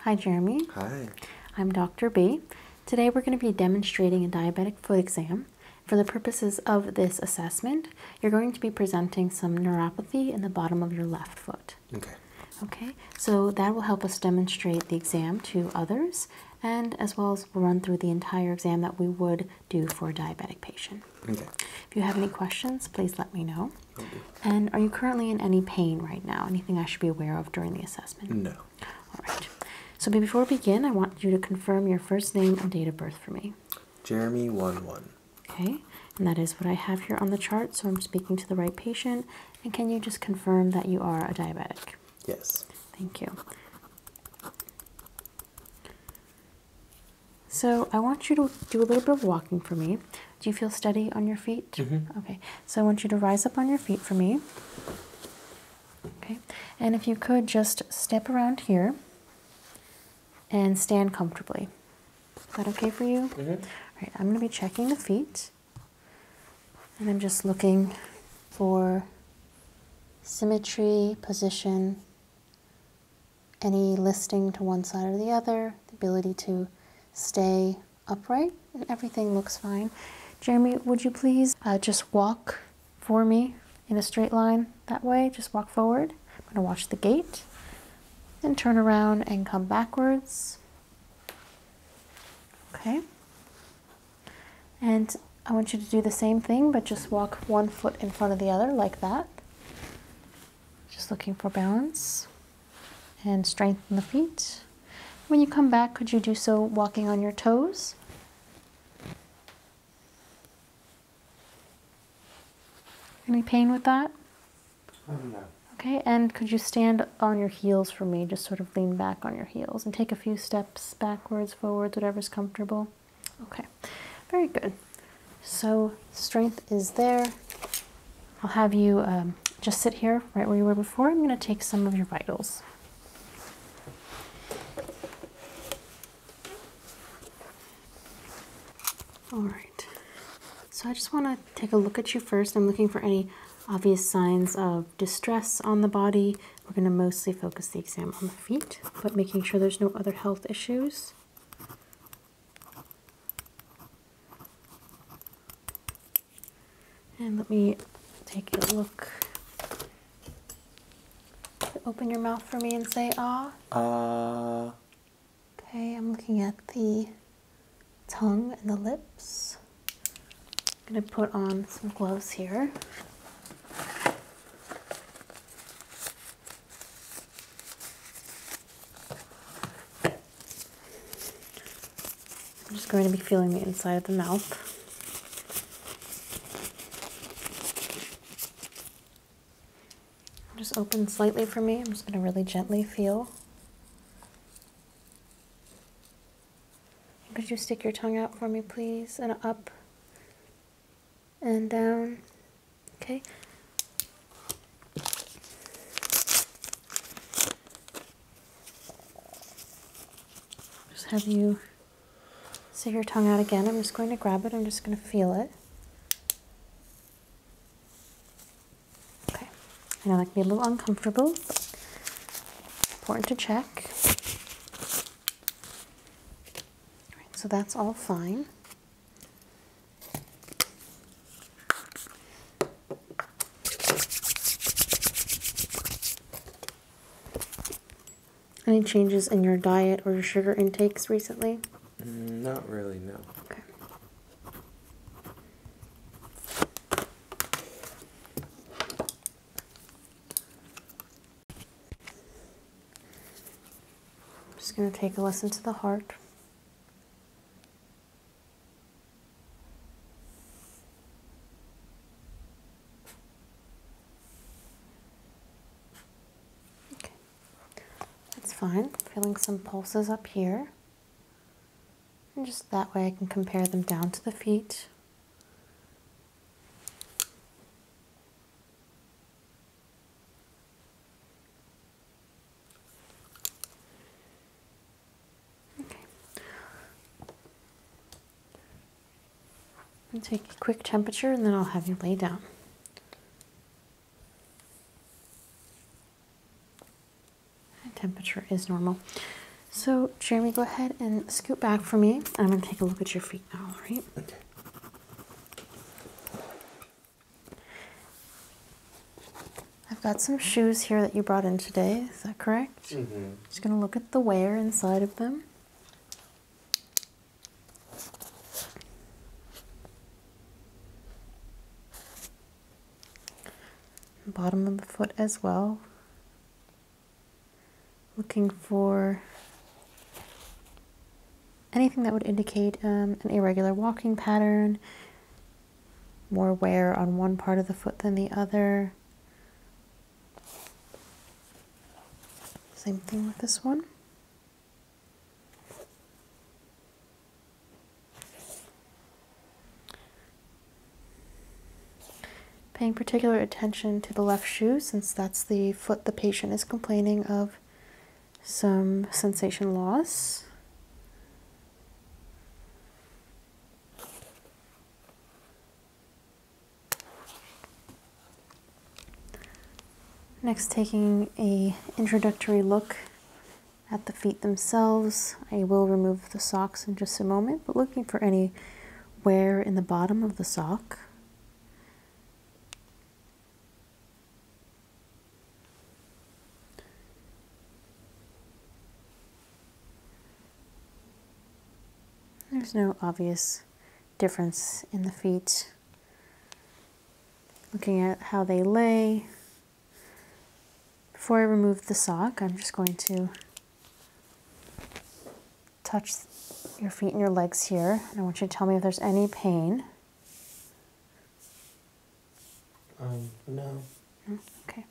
Hi, Jeremy. Hi. I'm Dr. B. Today we're going to be demonstrating a diabetic foot exam. For the purposes of this assessment, you're going to be presenting some neuropathy in the bottom of your left foot. Okay. Okay, so that will help us demonstrate the exam to others and as well as run through the entire exam that we would do for a diabetic patient. Okay. If you have any questions, please let me know. And are you currently in any pain right now? Anything I should be aware of during the assessment? No. All right. So before we begin, I want you to confirm your first name and date of birth for me. Jeremy one one. Okay. And that is what I have here on the chart. So I'm speaking to the right patient. And can you just confirm that you are a diabetic? Yes. Thank you. So I want you to do a little bit of walking for me. Do you feel steady on your feet? Mm-hmm. Okay. So I want you to rise up on your feet for me. Okay. And if you could just step around here and stand comfortably. Is that okay for you? Mm-hmm. All right. I'm going to be checking the feet. And I'm just looking for symmetry, position, any listing to one side or the other, the ability to stay upright, and everything looks fine. Jeremy, would you please uh, just walk for me in a straight line that way? Just walk forward. I'm going to watch the gate and turn around and come backwards. Okay. And I want you to do the same thing, but just walk one foot in front of the other like that. Just looking for balance and strengthen the feet. When you come back, could you do so walking on your toes? Any pain with that? Okay, and could you stand on your heels for me? Just sort of lean back on your heels and take a few steps backwards, forwards, whatever's comfortable. Okay, very good. So, strength is there. I'll have you um, just sit here right where you were before. I'm going to take some of your vitals. All right. So I just want to take a look at you first. I'm looking for any obvious signs of distress on the body. We're going to mostly focus the exam on feet, but making sure there's no other health issues. And let me take a look. Open your mouth for me and say ah. Ah. Okay, I'm looking at the tongue and the lips. I'm going to put on some gloves here. I'm just going to be feeling the inside of the mouth. Just open slightly for me. I'm just going to really gently feel. Could you stick your tongue out for me, please? And up and down um, okay just have you see your tongue out again I'm just going to grab it I'm just going to feel it okay I know that can be a little uncomfortable important to check so that's all fine. Any changes in your diet or your sugar intakes recently? Not really, no. Okay. I'm just going to take a listen to the heart. Okay. That's fine. Feeling some pulses up here. And just that way I can compare them down to the feet. Okay. i take a quick temperature and then I'll have you lay down. temperature is normal. So, Jeremy, go ahead and scoot back for me. I'm going to take a look at your feet now, all right? Okay. I've got some shoes here that you brought in today, is that correct? Mm-hmm. Just going to look at the wear inside of them. Bottom of the foot as well looking for anything that would indicate um, an irregular walking pattern, more wear on one part of the foot than the other. Same thing with this one. Paying particular attention to the left shoe since that's the foot the patient is complaining of some sensation loss. Next, taking a introductory look at the feet themselves. I will remove the socks in just a moment, but looking for any wear in the bottom of the sock. There's no obvious difference in the feet. Looking at how they lay. Before I remove the sock, I'm just going to touch your feet and your legs here, and I want you to tell me if there's any pain. Um, no. Okay.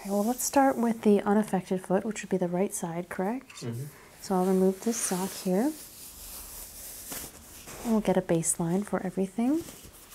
Okay, well, let's start with the unaffected foot, which would be the right side, correct? Mm-hmm. So I'll remove this sock here. And we'll get a baseline for everything.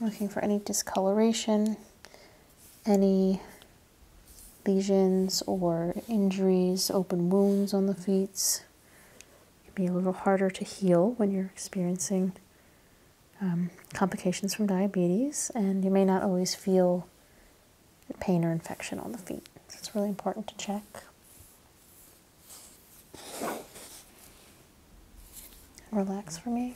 Looking for any discoloration, any lesions or injuries, open wounds on the feet. It can be a little harder to heal when you're experiencing um, complications from diabetes, and you may not always feel pain or infection on the feet. So it's really important to check. Relax for me.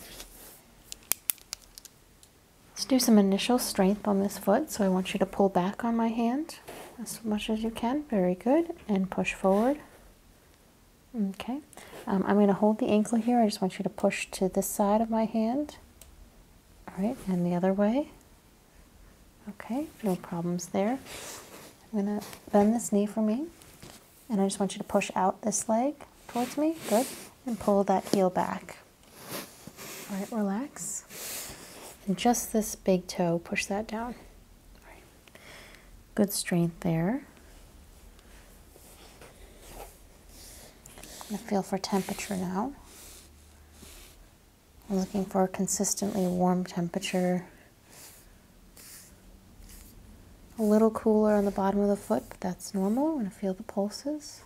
Let's do some initial strength on this foot. So I want you to pull back on my hand as much as you can. Very good. And push forward. Okay. Um, I'm going to hold the ankle here. I just want you to push to this side of my hand. All right. And the other way. Okay. No problems there. I'm going to bend this knee for me. And I just want you to push out this leg towards me. Good. And pull that heel back. All right, relax. And just this big toe, push that down. Good strength there. I'm going to feel for temperature now. I'm looking for a consistently warm temperature a little cooler on the bottom of the foot, but that's normal. We're going to feel the pulses.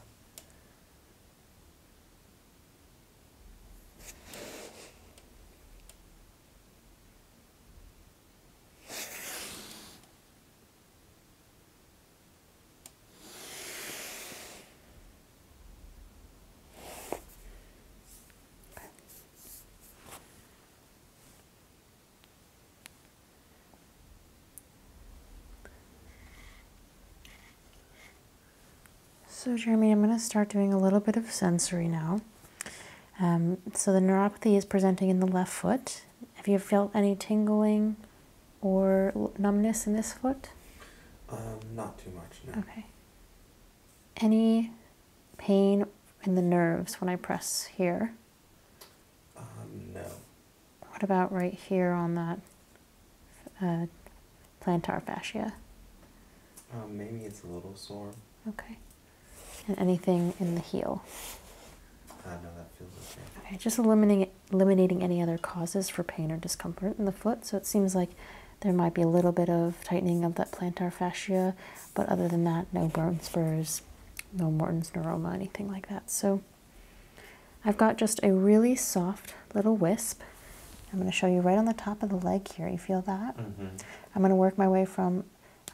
So, Jeremy, I'm going to start doing a little bit of sensory now. Um, so, the neuropathy is presenting in the left foot. Have you felt any tingling or numbness in this foot? Um, not too much, no. Okay. Any pain in the nerves when I press here? Um, no. What about right here on that uh, plantar fascia? Um, maybe it's a little sore. Okay. And anything in the heel? Uh, no, that feels okay. Okay, just eliminating eliminating any other causes for pain or discomfort in the foot. So it seems like there might be a little bit of tightening of that plantar fascia, but other than that, no bone spurs, no Morton's neuroma, anything like that. So I've got just a really soft little wisp. I'm going to show you right on the top of the leg here. You feel that? Mm-hmm. I'm going to work my way from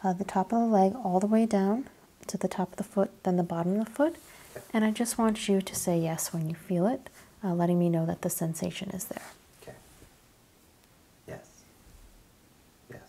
uh, the top of the leg all the way down to the top of the foot, then the bottom of the foot. And I just want you to say yes when you feel it, uh, letting me know that the sensation is there. Okay. Yes. Yes.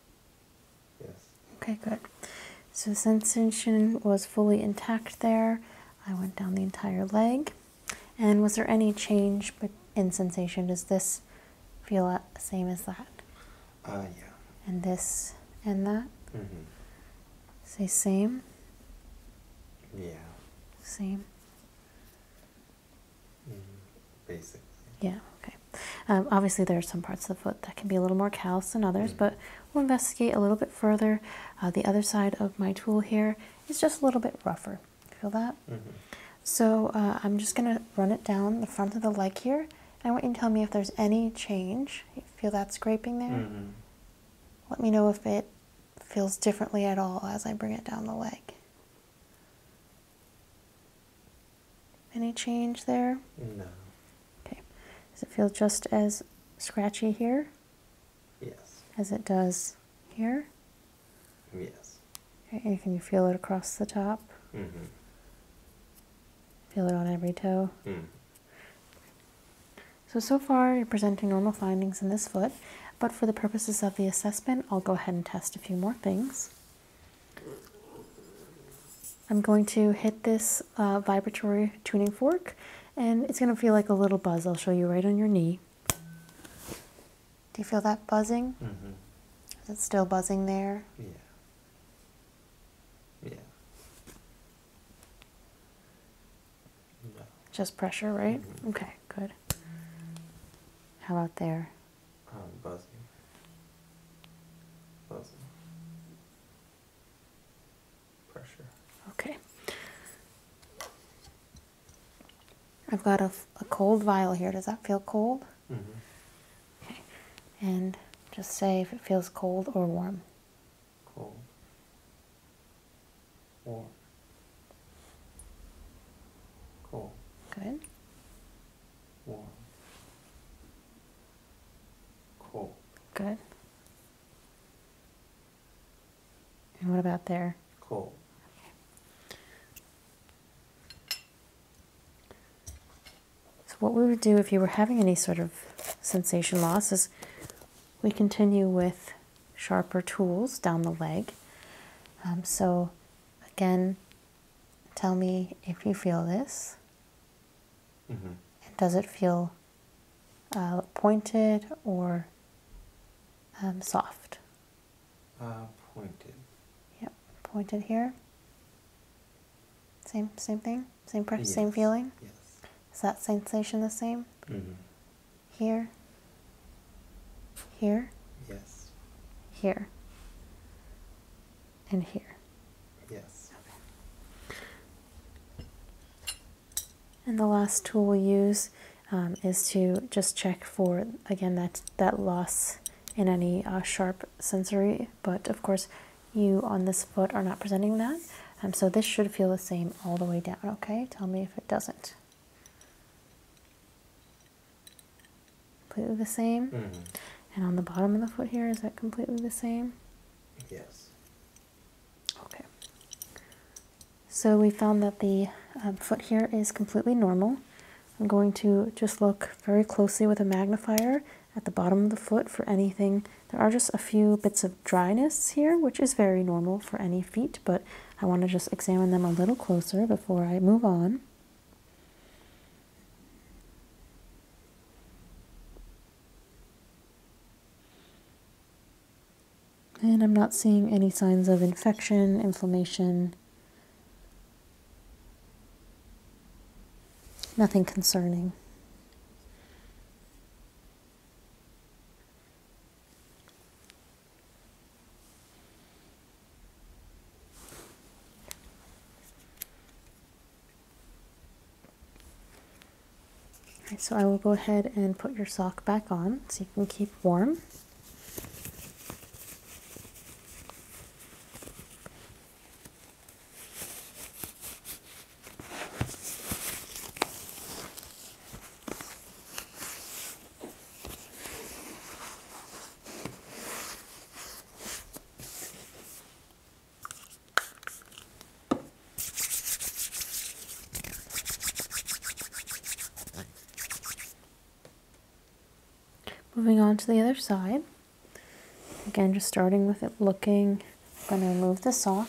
Yes. Okay, good. So sensation was fully intact there. I went down the entire leg. And was there any change in sensation? Does this feel the same as that? Uh, yeah. And this and that? hmm Say same? Yeah. Same? -hmm. Yeah, okay. Um, obviously, there are some parts of the foot that can be a little more callous than others, mm. but we'll investigate a little bit further. Uh, the other side of my tool here is just a little bit rougher. Feel that? Mm-hmm. So uh, I'm just going to run it down the front of the leg here. I want you to tell me if there's any change. feel that scraping there? Mm-hmm. Let me know if it feels differently at all as I bring it down the leg. Any change there? No. Okay. Does it feel just as scratchy here? Yes. As it does here? Yes. Okay, can you feel it across the top? Mm hmm Feel it on every toe? Mm. So, so far you're presenting normal findings in this foot, but for the purposes of the assessment, I'll go ahead and test a few more things. I'm going to hit this uh, vibratory tuning fork and it's going to feel like a little buzz. I'll show you right on your knee. Do you feel that buzzing? Mm -hmm. Is it still buzzing there? Yeah. Yeah. Just pressure, right? Mm-hmm. Okay, good. How about there? I'm um, buzzing. Buzzing. Pressure. Okay. I've got a, a cold vial here. Does that feel cold? Mm hmm Okay. And just say if it feels cold or warm. Cold. Warm. Cool. Good warm. Cool. Good. And what about there? Cool. So what we would do if you were having any sort of sensation loss is we continue with sharper tools down the leg. Um, so again, Tell me if you feel this. Mm-hmm. does it feel uh, pointed or um, soft? Uh, pointed. Yep, pointed here. Same, same thing, same pressure, same feeling. Yes. Is that sensation the same? Mm-hmm. Here. Here. Yes. Here and here. Yes. And the last tool we'll use um, is to just check for, again, that, that loss in any uh, sharp sensory, but of course you on this foot are not presenting that. Um, so this should feel the same all the way down, okay? Tell me if it doesn't completely the same. Mm-hmm. And on the bottom of the foot here, is that completely the same? Yes. Okay. So we found that the um, foot here is completely normal. I'm going to just look very closely with a magnifier at the bottom of the foot for anything. There are just a few bits of dryness here, which is very normal for any feet, but I want to just examine them a little closer before I move on. And I'm not seeing any signs of infection, inflammation, nothing concerning so I will go ahead and put your sock back on so you can keep warm. Moving on to the other side. Again, just starting with it looking, I'm going to remove the sock.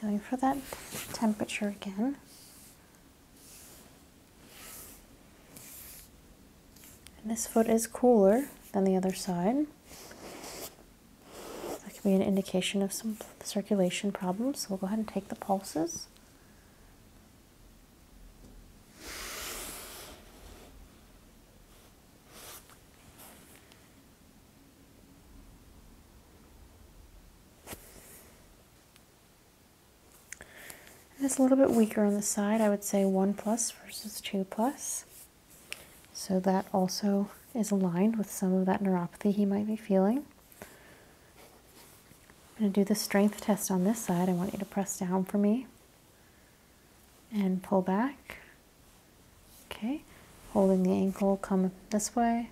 Feeling for that temperature again. this foot is cooler than the other side. That could be an indication of some circulation problems. So we'll go ahead and take the pulses. it's a little bit weaker on the side. I would say 1 plus versus 2 plus. So that also is aligned with some of that neuropathy he might be feeling. I'm going to do the strength test on this side. I want you to press down for me and pull back. Okay, holding the ankle, come this way,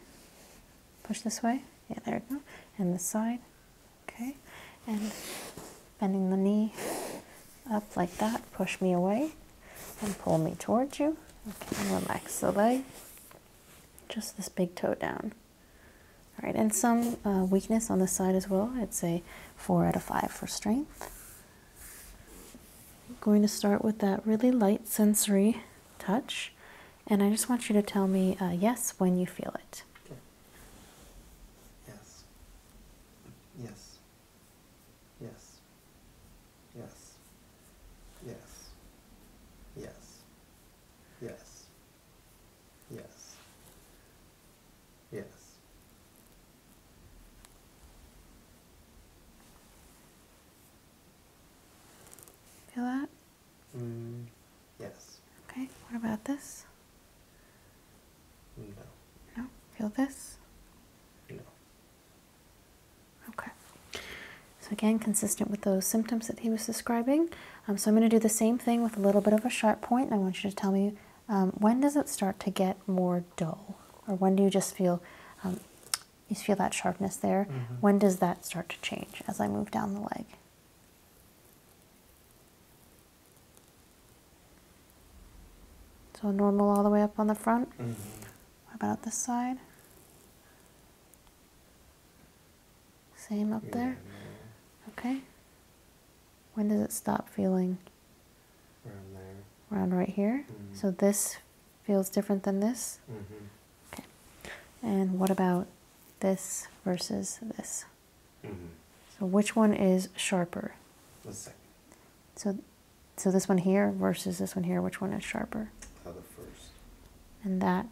push this way. Yeah, there we go. And this side. Okay, and bending the knee up like that, push me away and pull me towards you. Okay, relax the leg just this big toe down. All right, and some uh, weakness on the side as well. I'd say four out of five for strength. going to start with that really light sensory touch, and I just want you to tell me uh, yes when you feel it. Okay. Yes. Yes. Yes. Yes. Yes. Yes. Yes. Yes. Yes. Feel that? Mm, yes. Okay, what about this? No. No? Feel this? No. Okay. So again, consistent with those symptoms that he was describing. Um, so I'm going to do the same thing with a little bit of a sharp point, point. I want you to tell me um, when does it start to get more dull, or when do you just feel um, you feel that sharpness there? Mm-hmm. When does that start to change as I move down the leg? So normal all the way up on the front. Mm-hmm. about this side? Same up there? Okay. When does it stop feeling? Around right here? Mm-hmm. So this feels different than this? Mm-hmm. Okay. And what about this versus this? Mm-hmm. So which one is sharper? The second. So so this one here versus this one here, which one is sharper? the first. And that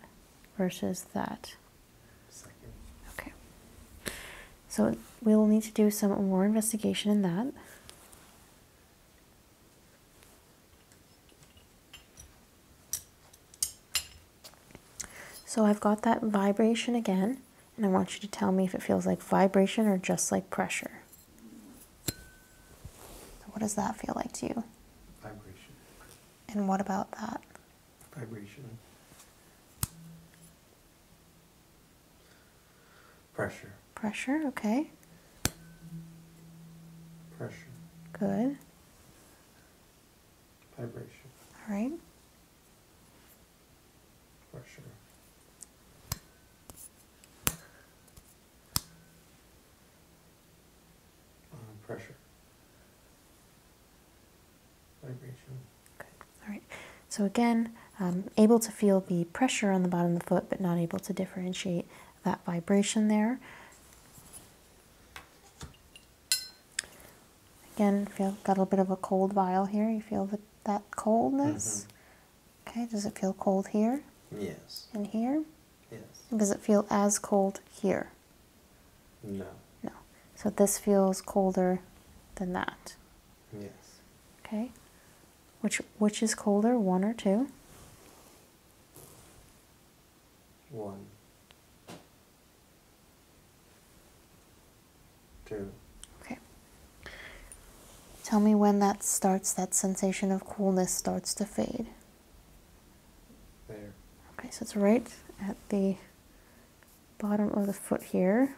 versus that. Second. Okay. So we will need to do some more investigation in that. So I've got that vibration again, and I want you to tell me if it feels like vibration or just like pressure. What does that feel like to you? Vibration. And what about that? Vibration. Pressure. Pressure, okay. Pressure. Good. Vibration. All right. Pressure. Uh, pressure. vibration. Good. All right. So again, um, able to feel the pressure on the bottom of the foot, but not able to differentiate that vibration there. Again, feel got a little bit of a cold vial here. You feel the, that coldness. Mm-hmm. Okay, does it feel cold here? Yes. In here? Yes. Does it feel as cold here? No. No. So this feels colder than that? Yes. Okay. Which, which is colder, one or two? One. Two. Okay. Tell me when that starts, that sensation of coolness starts to fade. There. Okay, so it's right at the bottom of the foot here.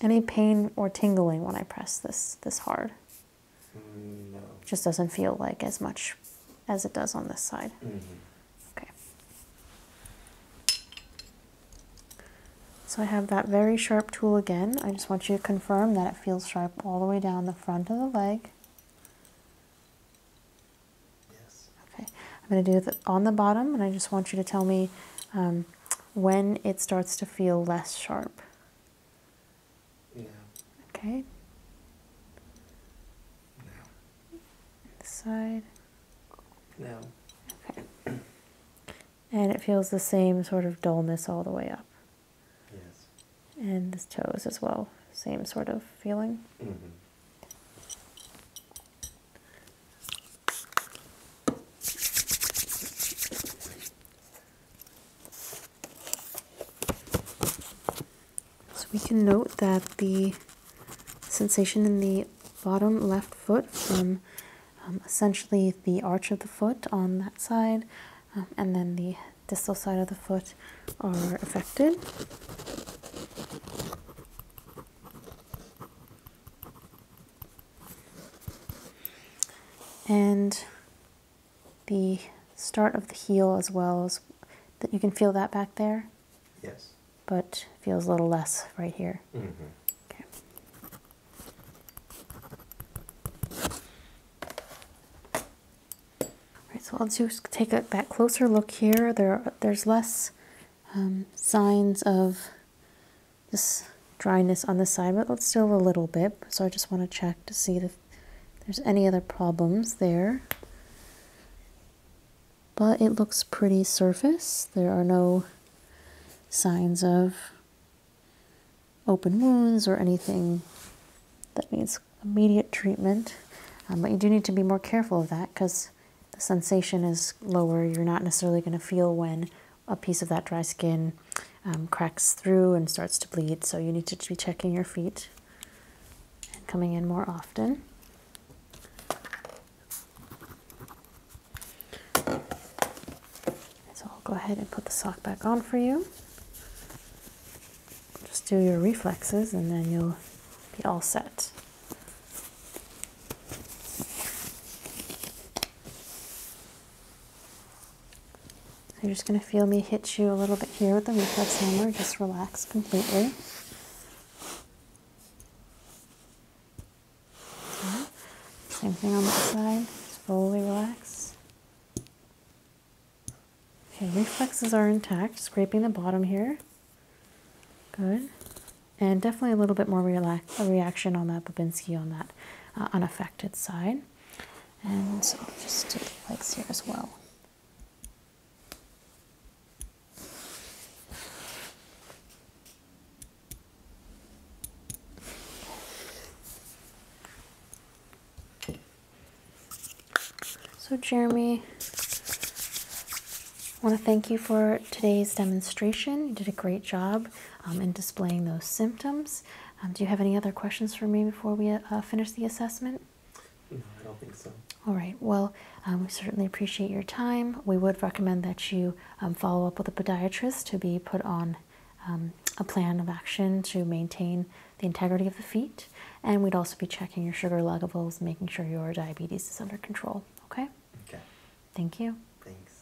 Any pain or tingling when I press this this hard? Mm, no. Just doesn't feel like as much as it does on this side. Mm-hmm. Okay. So I have that very sharp tool again. I just want you to confirm that it feels sharp all the way down the front of the leg. Yes. Okay, I'm going to do it on the bottom, and I just want you to tell me um, when it starts to feel less sharp. Yeah. Okay. No. side. No. Okay and it feels the same sort of dullness all the way up. And the toes as well, same sort of feeling. Mm-hmm. So we can note that the sensation in the bottom left foot from um, essentially the arch of the foot on that side um, and then the distal side of the foot are affected. And the start of the heel as well as that you can feel that back there. Yes. But feels a little less right here. Mm -hmm. Okay. Alright, so I'll just take a, that closer look here. There, There's less um, signs of this dryness on the side, but still a little bit. So I just want to check to see if there's any other problems there. But it looks pretty surface. There are no signs of open wounds or anything that needs immediate treatment. Um, but you do need to be more careful of that because the sensation is lower. You're not necessarily going to feel when a piece of that dry skin um, cracks through and starts to bleed. So you need to be checking your feet and coming in more often. So I'll go ahead and put the sock back on for you. Just do your reflexes and then you'll be all set. you're just going to feel me hit you a little bit here with the reflex hammer. Just relax completely. Same thing on that side. Just fully relax. Okay, reflexes are intact. Scraping the bottom here. Good. And definitely a little bit more relax a reaction on that Babinski on that uh, unaffected side. And so just do the legs here as well. So Jeremy, I want to thank you for today's demonstration. You did a great job um, in displaying those symptoms. Um, do you have any other questions for me before we uh, finish the assessment? No, I don't think so. All right. Well, um, we certainly appreciate your time. We would recommend that you um, follow up with a podiatrist to be put on um, a plan of action to maintain the integrity of the feet. And we'd also be checking your sugar levels, making sure your diabetes is under control. Okay? Okay. Thank you. Thanks.